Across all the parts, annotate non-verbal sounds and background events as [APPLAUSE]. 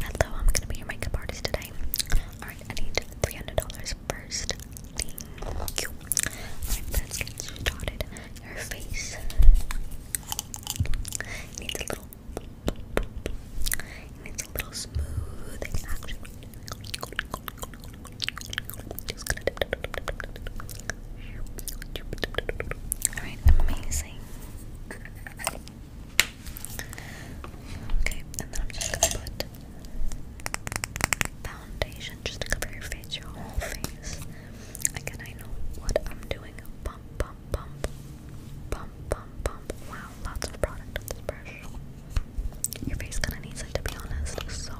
Hello, I'm gonna be your makeup artist today. Alright, I need $300 first. let's get started. Your face. needs a little. needs a little smoothing action. Just going amazing cleansing. Okay, and then I'm just gonna put foundation just to cover your face, your whole face. Again, I know what I'm doing. Pump, pump, pump, pump, pump, pump. Wow, lots of product on this brush. Your face kind of needs it to be honest. So.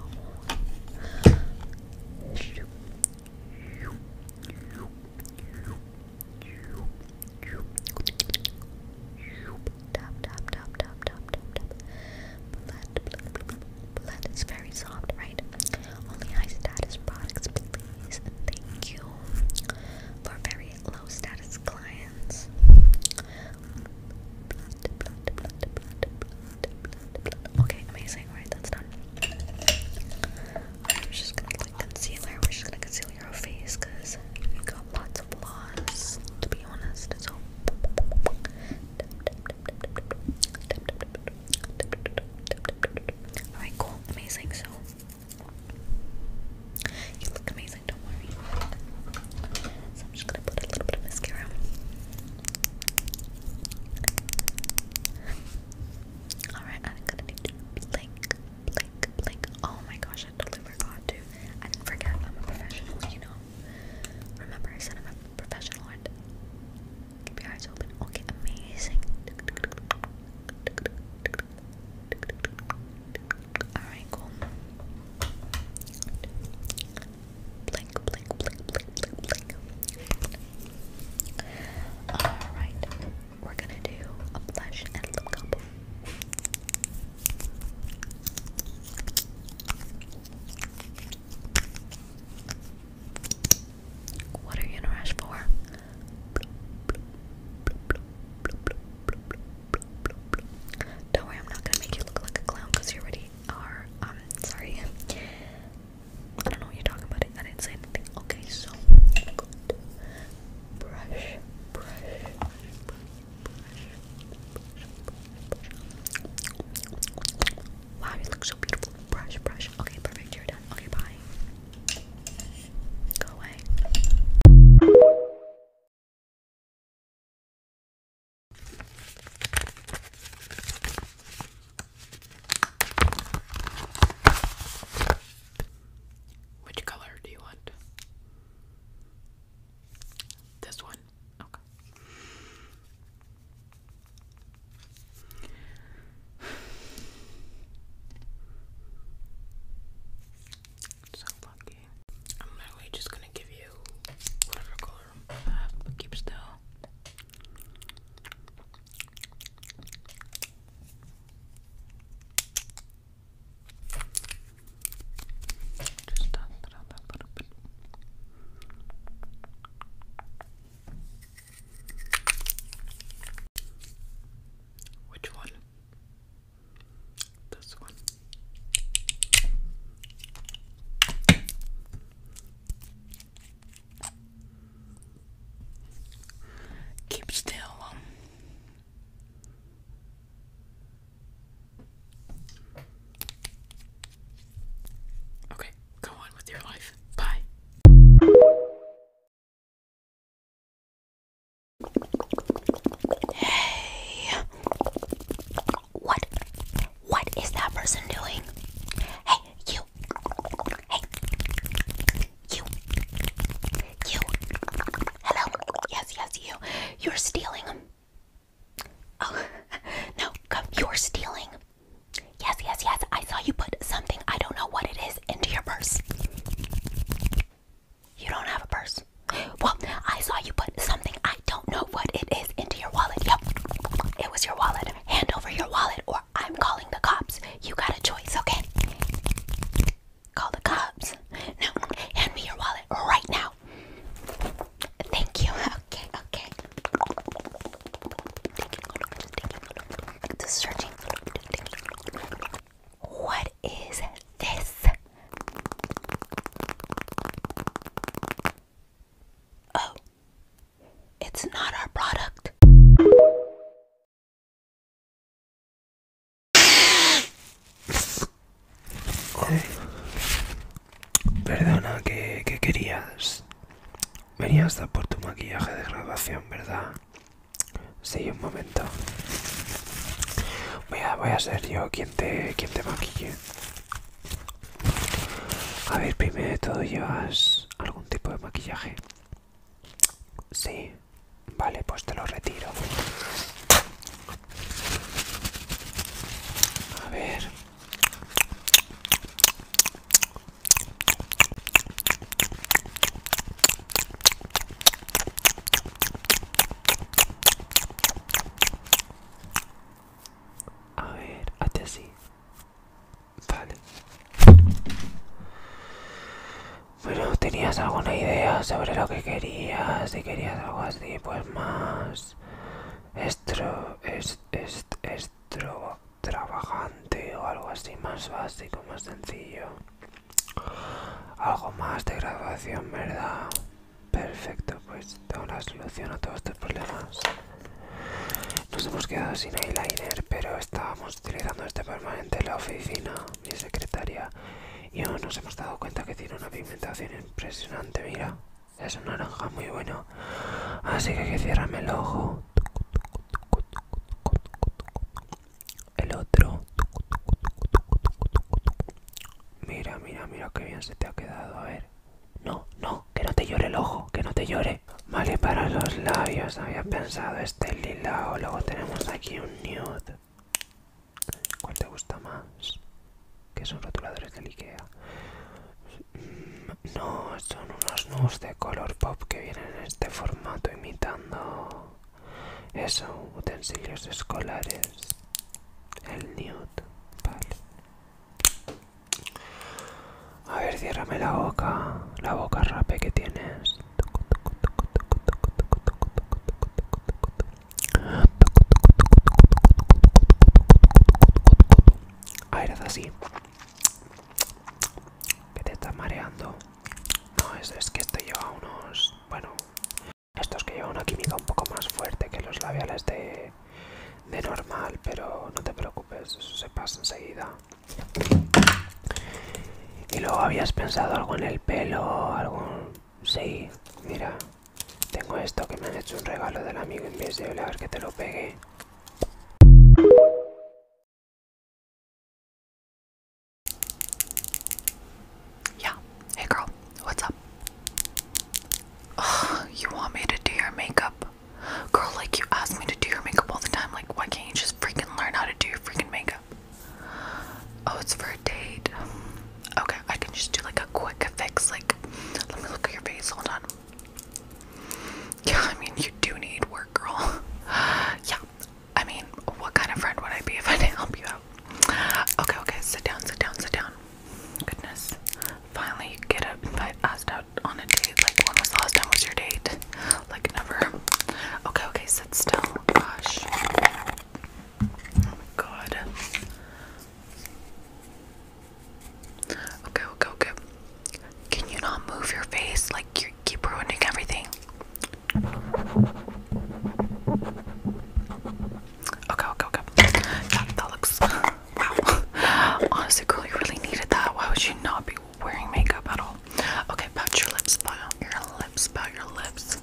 Tap, tap, tap, tap, tap, tap, tap. Blood, blood is very soft, right? Only high status products, please. Thank you for very low status clients. Okay, amazing, right? That's done. I'm just gonna like concealer. We're just gonna conceal your face because you got lots of flaws, to be honest. So Alright, cool, amazing. So you look amazing, don't worry. So I'm just gonna put a little bit of mascara. Alright, I'm gonna need to blink, blink, blink. Oh my gosh, I totally forgot to. I didn't forget I'm a professional, you know. Remember, I said I'm a professional keep your eyes open. Okay, amazing. Alright, cool. blink, blink, blink, blink, blink. Alright, we're gonna do a blush and lip combo. What are you in a rush for? Don't worry, I'm not gonna make you look like a clown because you already are. Um, sorry. I don't know what you're talking about. I didn't say anything. Okay, so i brush, brush, Wow, you look so beautiful. Brush, brush. Okay, perfect. You're Okay, bye. Go away. Which color do you want? This one? Okay. [SIGHS] So lucky. I'm literally just gonna give you whatever color but keep still. Just dot Which one? This one. Keep still. Okay, go on with your life. Bye. Hey. What? What is that person doing? Hey, you. Hey. You. You. Hello. Yes, yes, you. You're stealing. Oh, [LAUGHS] no. You're stealing. Yes, yes, yes. I saw you put something, I don't know what it is, into your purse. You don't have a purse. Well, I saw you put something, I don't know what it is, into your wallet. Yep. It was your wallet. Hand over your wallet, or I'm calling the cops. You got a choice, okay? Call the cops. Now, hand me your wallet right now. Thank you. Okay, okay. What is this? Oh, It's not our product. Perdona, ¿qué, querías? Venías a por tu maquillaje de grabación, ¿verdad? Sí, un momento. Voy a, voy a ser yo quien te, quien te maquille. A ver, primero de todo, ¿llevas algún tipo de maquillaje? Sí, vale, pues te lo retiro. A ver. A ver, hazte sí. Vale. Bueno, ¿tenías alguna idea sobre lo que querías? Si querías algo así, pues más... Estro... Es, estro... Trabajante o algo así más básico, más sencillo. Algo más de graduación, ¿verdad? Perfecto, pues tengo una solución a todos estos problemas. Nos hemos quedado sin eyeliner, pero estábamos utilizando este permanente en la oficina, mi secretaria, y aún nos hemos dado cuenta que tiene una pigmentación impresionante, mira. Es un naranja muy bueno, así que, que cierrame el ojo. El otro. Mira, mira, mira qué bien se te ha quedado. A ver. No, no, que no te llore el ojo, que no te llore. Vale, para los labios había pensado este lilao. Luego tenemos aquí un nude. ¿Cuál te gusta más? Que son rotuladores de Ikea. Mm, no, son unos nudes de color pop que vienen en este formato imitando eso, utensilios escolares. El nude, vale. A ver, ciérrame la boca, la boca rape que tienes. A ah, ver, así. Que te estás mareando. No, es, que esto lleva unos. Bueno, estos que llevan una química un poco más fuerte que los labiales de, de normal, pero no te preocupes, eso se pasa enseguida. Y luego habías pensado algo en el pelo, algo Sí, mira, tengo esto que me han hecho un regalo del amigo invisible, a ver que te lo pegué. Yeah, hey girl, what's up? you want me to makeup? Girl, like you ask me to do your makeup all the time. Like, why can't you just freaking learn how to do your freaking makeup? Oh, it's for a date. Okay, I can just do like a quick fix. Like, let me look at your face. Hold on. Yeah, I mean, you do need work, girl. [LAUGHS] yeah, I mean, what kind of friend would I be if I didn't help you out? Okay, okay, sit down, sit down, sit down. Goodness, finally, get up and invite us on a date? Like, when was the last time was your date? Like, never. Okay, okay, sit still. Gosh. Oh god. Okay, okay, okay. Can you not move your face? Like, you keep ruining everything. Okay, okay, okay. That, that looks. Wow. [LAUGHS] Honestly, girl, you really needed that. Why would you not be wearing makeup at all. Okay, pat your lips, pat your lips, pat your lips.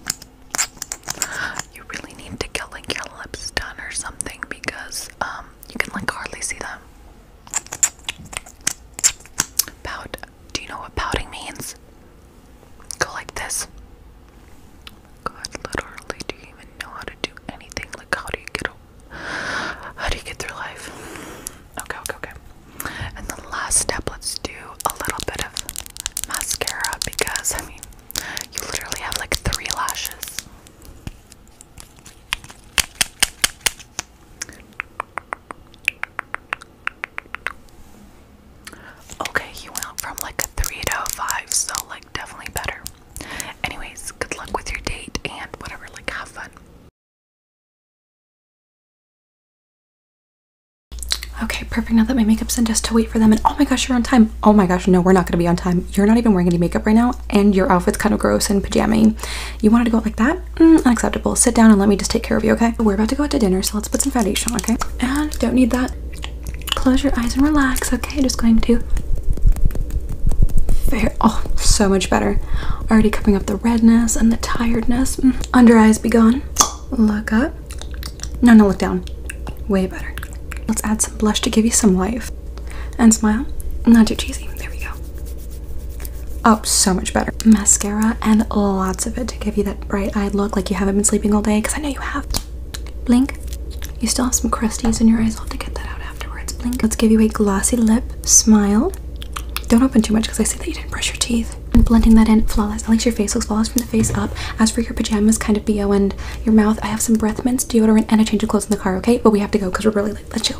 You really need to get like your lips done or something because um you can like hardly see them. Pout. Do you know what pouting means? Go like this. God, literally, do you even know how to do anything? Like, how do you get a how do you get through life? Okay, okay, okay. And the last step, let's do a little bit of mascara because I mean, you literally have like three lashes. Okay, you went from like a 3 to a 5, so like definitely better. Anyways, good luck with your date and whatever, like have fun. Okay, perfect. Now that my makeup's in, just to wait for them. And oh my gosh, you're on time. Oh my gosh, no, we're not gonna be on time. You're not even wearing any makeup right now, and your outfit's kind of gross and pajama. You wanted to go out like that? Mm, unacceptable. Sit down and let me just take care of you, okay? We're about to go out to dinner, so let's put some foundation, okay? And don't need that. Close your eyes and relax, okay? Just going to. Fair. Oh, so much better already coming up the redness and the tiredness. Mm. Under eyes be gone. Look up. No, no, look down. Way better. Let's add some blush to give you some life. And smile. Not too cheesy. There we go. Oh, so much better. Mascara and lots of it to give you that bright eyed look like you haven't been sleeping all day because I know you have. Blink. You still have some crusties in your eyes. I'll have to get that out afterwards. Blink. Let's give you a glossy lip smile. Don't open too much because I see that you didn't brush your teeth. And blending that in, flawless. At least your face looks flawless from the face up. As for your pajamas, kind of bo, and your mouth, I have some breath mints, deodorant, and a change of clothes in the car, okay? But we have to go because we're really late. Let's go.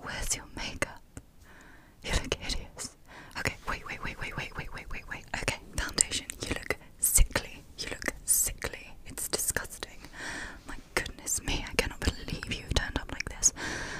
Where's your makeup? You look hideous. Okay, wait, wait, wait, wait, wait, wait, wait, wait, wait. Okay, foundation. You look sickly. You look sickly. It's disgusting. My goodness me, I cannot believe you turned up like this.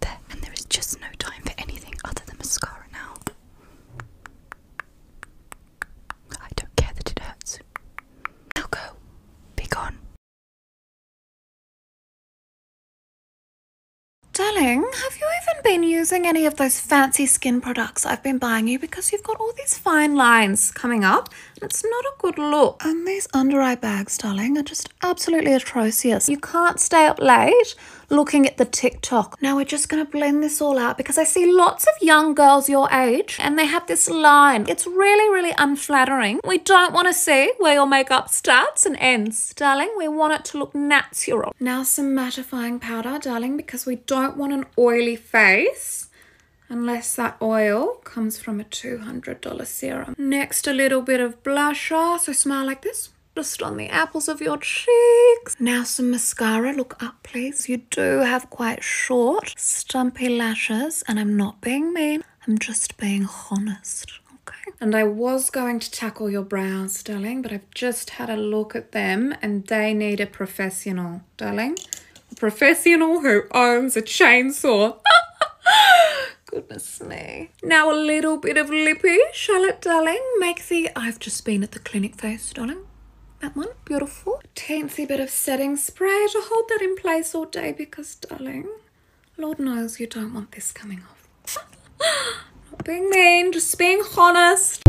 There, and there is just no time for anything other than mascara now. I don't care that it hurts. Now go. Be gone. Darling, have you even been using any of those fancy skin products I've been buying you because you've got all these fine lines coming up it's not a good look. And these under eye bags, darling, are just absolutely atrocious. You can't stay up late looking at the TikTok. Now we're just gonna blend this all out because I see lots of young girls your age and they have this line. It's really, really unflattering. We don't wanna see where your makeup starts and ends, darling. We want it to look natural. Now some mattifying powder, darling, because we don't want an oily face unless that oil comes from a $200 serum. Next, a little bit of blusher. So smile like this just on the apples of your cheeks. Now some mascara, look up please. You do have quite short, stumpy lashes and I'm not being mean, I'm just being honest. Okay. And I was going to tackle your brows, darling, but I've just had a look at them and they need a professional, darling. A professional who owns a chainsaw. [LAUGHS] Goodness me. Now a little bit of lippy, Charlotte darling. Make the I've just been at the clinic face, darling. That one, beautiful. Teensy bit of setting spray to hold that in place all day because, darling, Lord knows you don't want this coming off. [GASPS] Not being mean, just being honest.